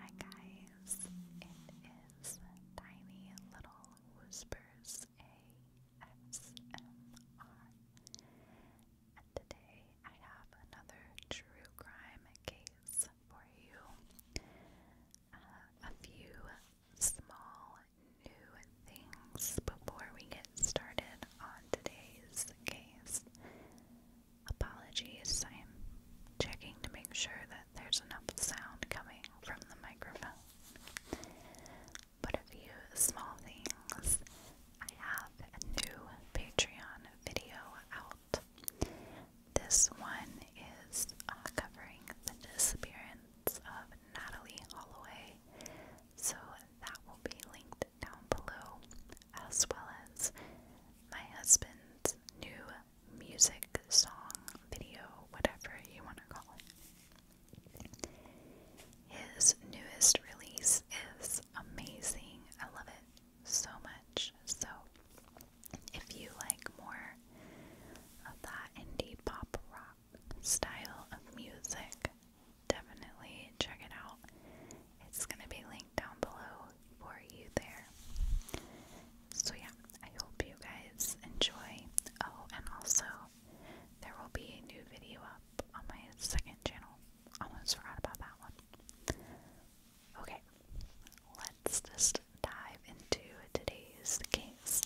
Hi guys, it is Tiny Little Whispers ASMR, and today I have another true crime case for you. Uh, a few small new things before we get started on today's case. Apologies, I'm checking to make sure that there's enough sound coming from the microphone. But a few small things. I have a new Patreon video out. This one is uh, covering the disappearance of Natalie Holloway, so that will be linked down below, as well as my husband's new music, song, video, whatever you want to call it. His newest release is amazing. I love it so much. So, if you like more of that indie pop rock style of music, definitely check it out. It's going to be linked down below for you there. So, yeah, I hope you guys enjoy. Oh, and also, there will be a new video up on my second channel. Almost forgot about that one. Okay, let's just dive into today's case.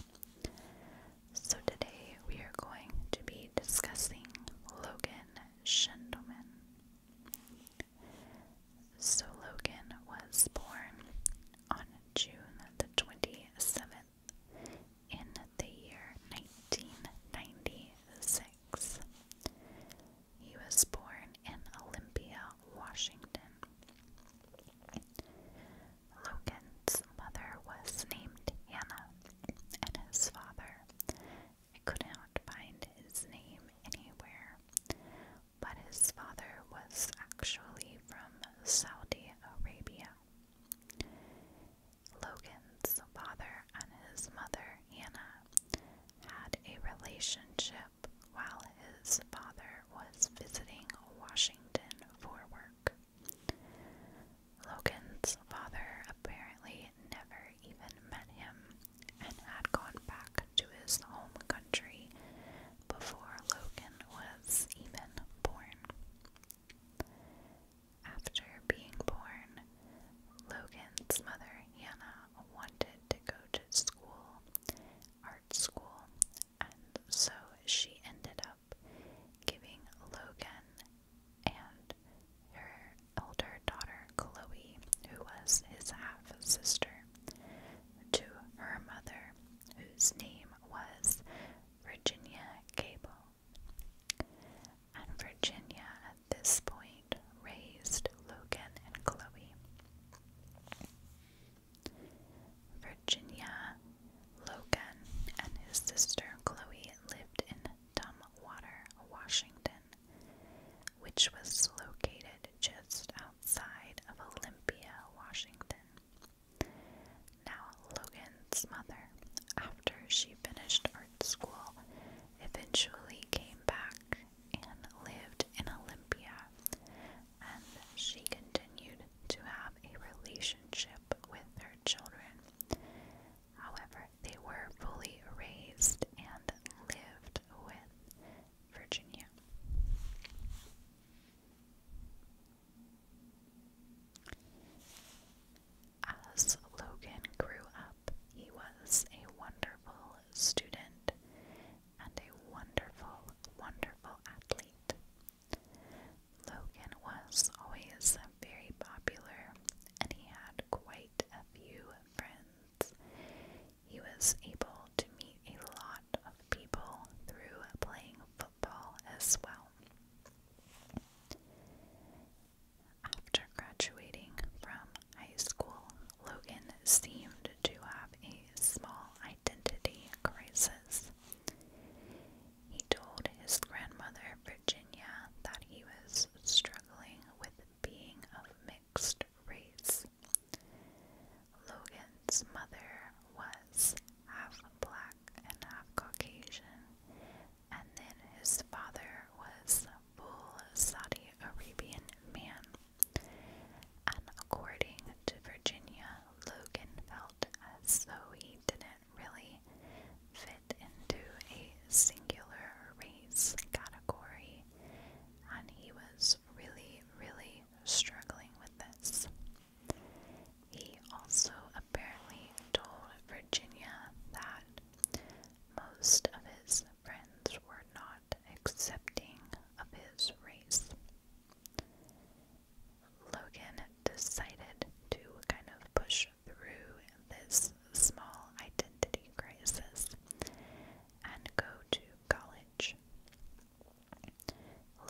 So, today we are going to be discussing Logan Schindelman. So Logan was born on June the 27th in the year 1996. He was born in Olympia, Washington. Logan's mother was named Hannah, and his father I could not find his name anywhere, but his father was actually from Saudi Arabia. Logan's father and his mother, Anna, had a relationship while his father was visiting Washington for work. Logan's father apparently never even met him and had gone back to his home country before Logan was even born. After being born, Logan's mother Hannah wanted to go to school, art school, and so she ended up giving Logan and her elder daughter Chloe, who was his half sister, to her mother, whose name was Virginia Cable. And Virginia at this point raised Logan and Chloe. Virginia, Logan, and his sister Chloe lived in Tumwater, Washington which was located just outside of Olympia, Washington. Now, Logan's mother, after she finished art school, eventually came back and lived in Olympia, and she continued to have a relationship with her children. However, they were fully raised and lived with Virginia. As Logan grew up, he was a wonderful student and a wonderful, wonderful athlete. Logan was always very popular and he had quite a few friends. He was able to meet a lot of people through playing football as well. After graduating from high school, Logan seemed to have a small identity crisis. He told his grandmother, Virginia, that he was struggling with being of mixed race. Logan's mother was half black and half Caucasian, and then his father was a full Saudi Arabian man. And according to Virginia, Logan felt as though he didn't really fit it into a singular race category, and he was really, really struggling with this. He also apparently told Virginia that most of his friends were not accepting of his race. Logan decided to kind of push through this small identity crisis and go to college.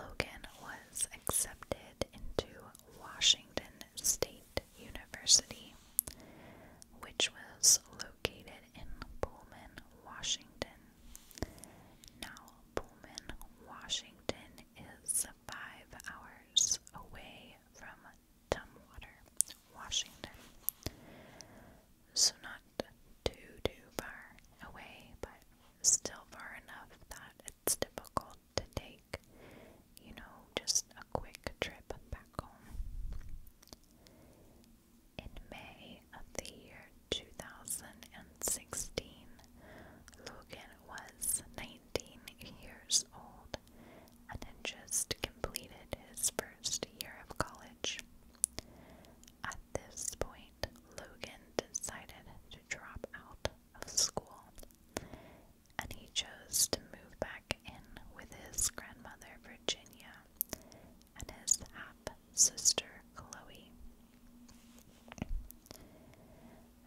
Logan was accepted into Washington State University, which was located in Pullman, Washington. Now, Pullman, Washington is five hours away from Tumwater, Washington. So, not too, too far away, but still far enough that it's difficult to take, you know, just a quick trip back home. In May of the year 2016, Logan was 19 years old and had just completed his first year of college. At this point, Logan decided to drop out of school and he chose to move back in with his grandmother Virginia and his half sister Chloe.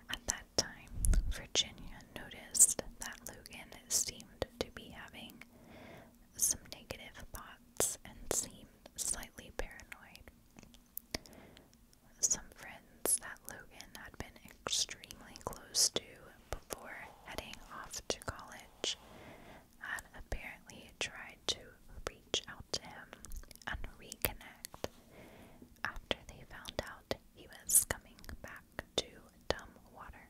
At that time, Virginia noticed that Logan seemed to be having some negative thoughts and seemed slightly paranoid. Some friends that Logan had been extremely close to before heading off to college had apparently tried to reach out to him and reconnect after they found out he was coming back back to Dumbwater.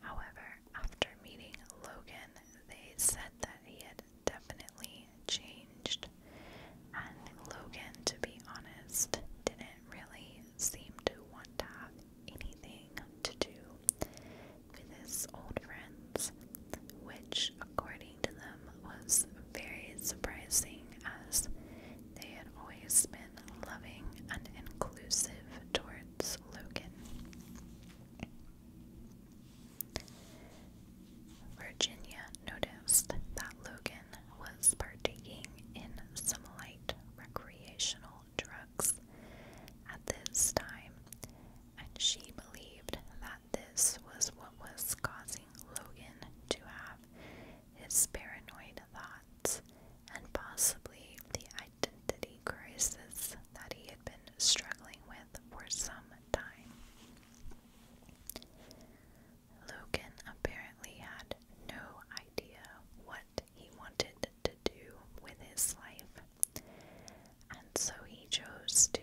However, after meeting Logan, they said that he had definitely changed, and Logan, to be honest, didn't really seem to want to have anything to do with his old friends, which, according to them, was very surprising as they had always been loving, and inclusive towards Logan. Virginia noticed that Logan was partaking in some light recreational drugs at this time, and she believed that this was what was causing Logan to have his paranoid thoughts and possibly the identity crisis that he had been struggling with for some time. Logan apparently had no idea what he wanted to do with his life, and so he chose to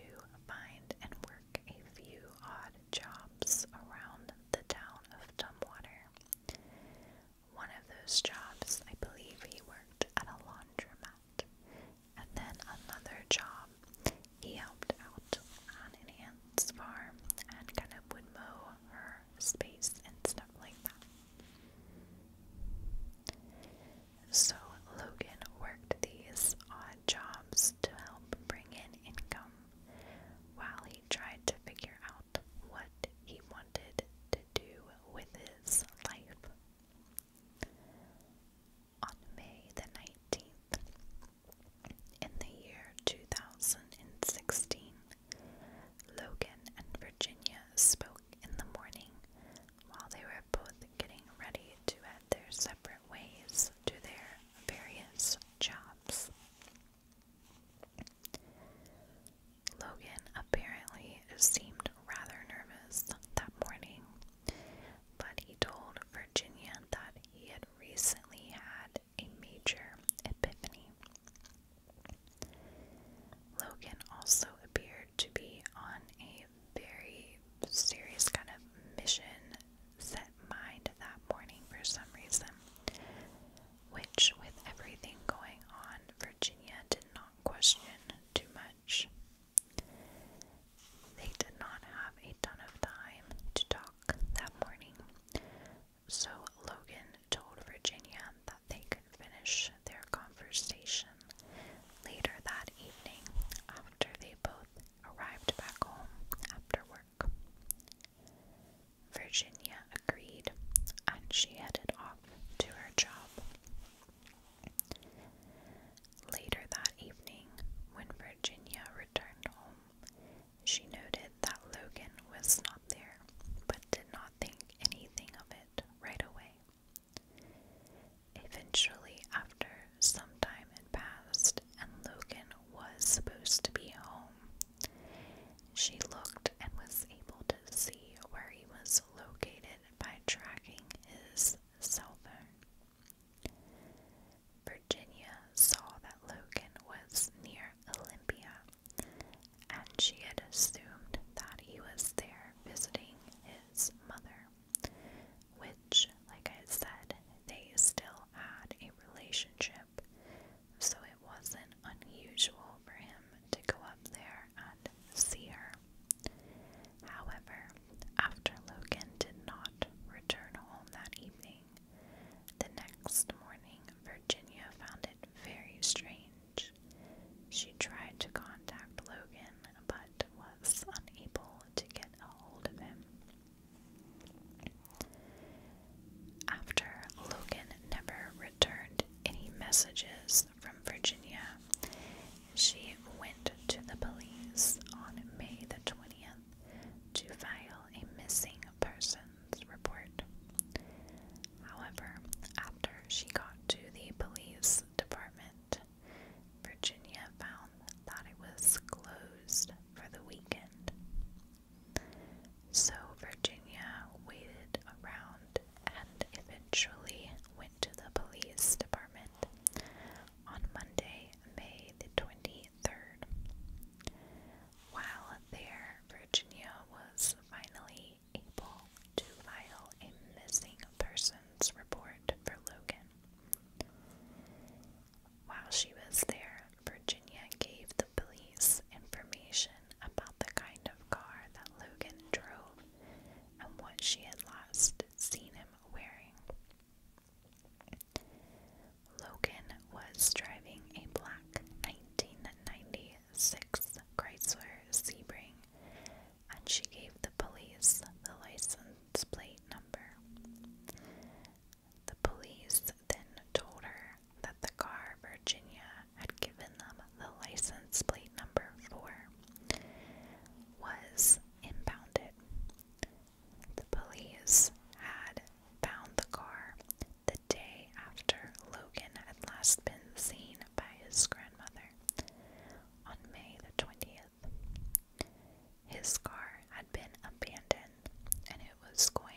find and work a few odd odd jobs around the town of Tumwater. One of those jobs, I believe he worked at a laundromat, and then another job he helped out on an ant's farm and kind of would mow her space and stuff like that. So Logan worked these odd jobs to help bring in income while finally tried to figure out what he wanted to do with his life. On May the 19th, in the year 2016, Logan and Virginia spoke in the morning while they were both getting ready to head their separate ways to their various jobs. Logan apparently seemed rather nervous that morning, but he told Virginia that he had recently had a major epiphany. Logan also appeared to be on a very serious kind of mission set mind that morning for some reason, which, with everything going on, Virginia did not question too much. They did not have a ton of time to talk that morning, so Logan told Virginia that they could finish their conversation later that evening after they both arrived back home after work. Virginia agreed, and she headed off to her job. Later that evening, when Virginia returned home, she noted that Logan was not there, but did not think anything of it right away. Eventually, after some time had passed and Logan was supposed to be home, she looked and was able to see where he was located by tracking his cell phone. Virginia saw that Logan was near Olympia, and she had assumed that he was there visiting his mother, which, like I said, they still had a relationship so it wasn't unusual for him to go up there and see her. However, after Logan did not return home that evening, the next morning Virginia found it very strange. She tried to contact Logan but was unable to get a hold of him. After Logan never returned any messages from Virginia, she went to the police on May the 20th to file a missing persons report. However, after she got to the police department, Virginia found that it was closed for the weekend. So Virginia waited around and eventually went to the police department on Monday, May the 23rd. While there, Virginia was finally able to file a missing persons report for Logan. While she was there, Virginia gave the police information about the kind of car that Logan drove and what she had last seen him wearing. Logan was driving a black 1996 Chrysler Sebring, and she gave the police the license plate number. The police then told her that the car Virginia had given them the license plate number four, was impounded. The police had found the car the day after Logan had last been seen by his grandmother on May the 20th. His car had been abandoned and it was going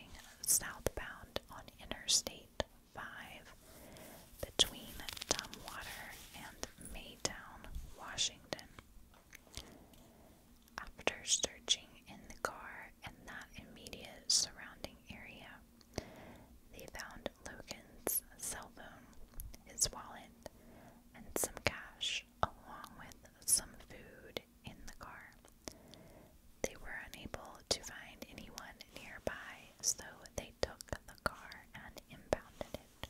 southbound on Interstate 5 between Tumwater and Maytown, Washington. After searching in the car and that immediate surrounding area, they found Logan's cell phone, his wallet, and some cash, along with some food in the car. They were unable to find anyone nearby, so they took the car and impounded it.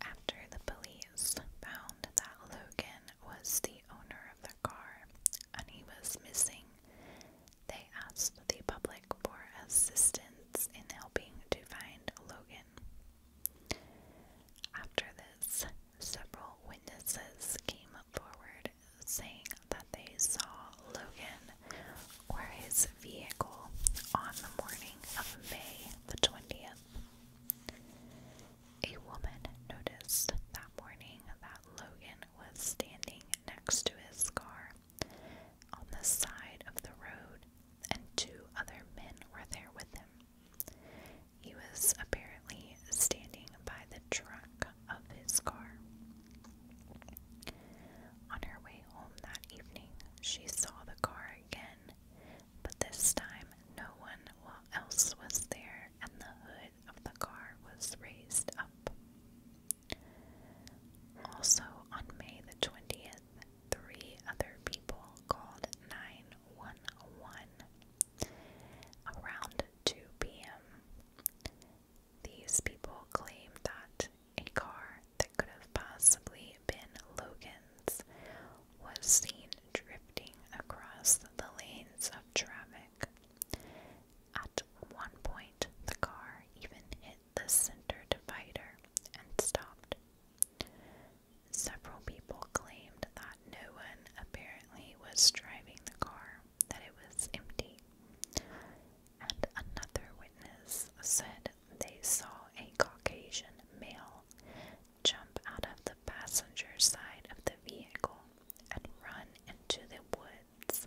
After the police found that Logan was the owner of the car and he was missing, they asked the public for assistance in helping to find Logan. After this, several witnesses came forward saying that they saw Logan or his vehicle on the morning of May the 20th. A woman noticed that morning that Logan was standing next to his car on the side of the road and two other men were there with him. He was apparently standing by the trunk of his car. On her way home that evening, she saw the car again, but this time no one else was there, and the hood of the car was raised up. Also, on May the 20th, three other people called 911 around 2 p.m. These people claimed that a car that could have possibly been Logan's was seen drifting across the lanes of traffic. At one point, the car even hit the center divider and stopped Several people claimed that no one apparently was driving the car, that it was empty. And another witness said they saw a Caucasian male jump out of the passenger side of the vehicle and run into the woods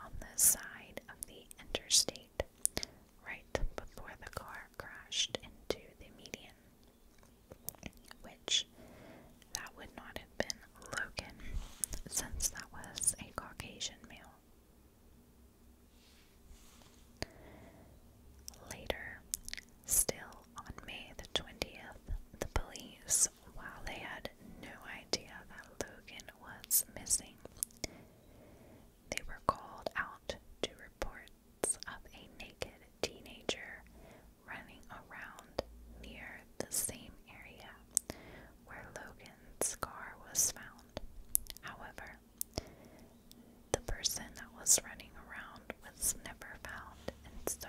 on the side of the interstate right before the car crashed into the median, which that would not have been Logan since that was a Caucasian male. Later, still on May the 20th, the police, while they had no idea that Logan was missing, they were called out to reports of a naked teenager running around near the same area where Logan's car was found. However, the person that was running around was never found, and so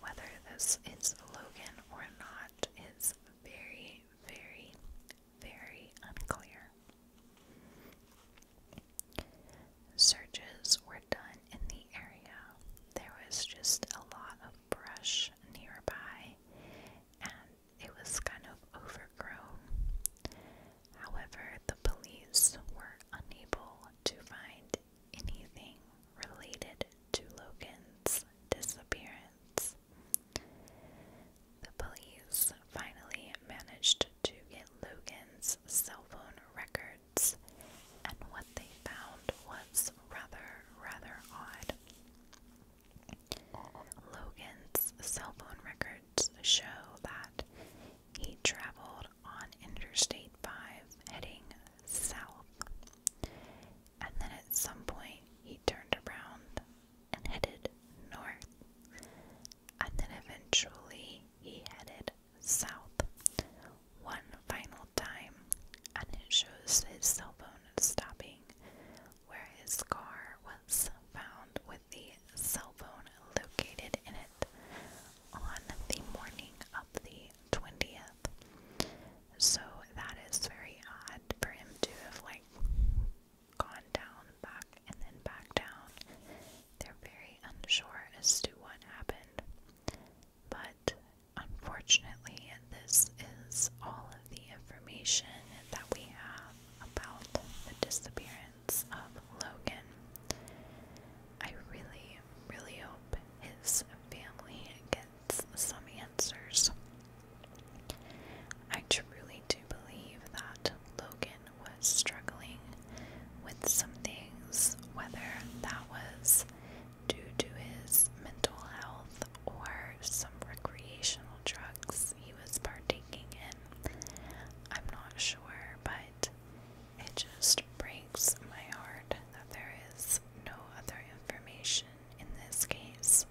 whether this is Logan or not is very, very very unclear. Searches were done in the area. There was just a lot of brush nearby, and it was kind of overgrown. However, the police were unable to find anything related to Logan's disappearance. The police finally managed to get Logan's cell phone records, and what they found was rather, rather odd. Logan's cell phone records show that he traveled on Interstate 5 heading south, and then at some point he turned around and headed north, and then eventually he headed south one final time, and it shows his cell phone stopping where his car was found with the cell phone located in it on the morning of the 20th. So that is very odd for him to have like gone down, back, and then back down. They're very unsure as to what happened. But unfortunately, this is all of the information that we have about the disappearance of Logan. I really, really hope his family gets some answers. I truly do believe that Logan was struggling with some things, whether that was due to his mental health or some recreational drugs he was partaking in. I'm not sure, but it just breaks my heart that there is no other information in this case.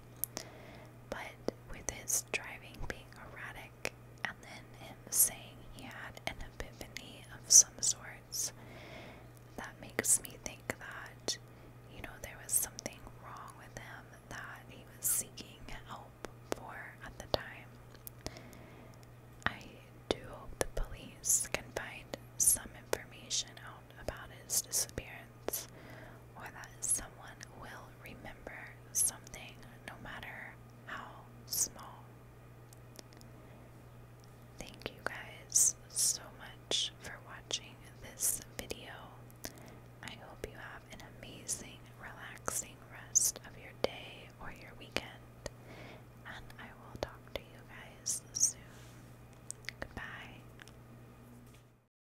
But with his driving being erratic, and then him saying he had an epiphany of some sorts, that makes me think that, you know, there was something wrong with him that he was seeking help for at the time. I do hope the police can find some information out about his disappearance or that someone will remember something no matter how small. Thank you guys so much for watching this video. I hope you have an amazing, relaxing rest of your day or your weekend, and I will talk to you guys soon. Goodbye.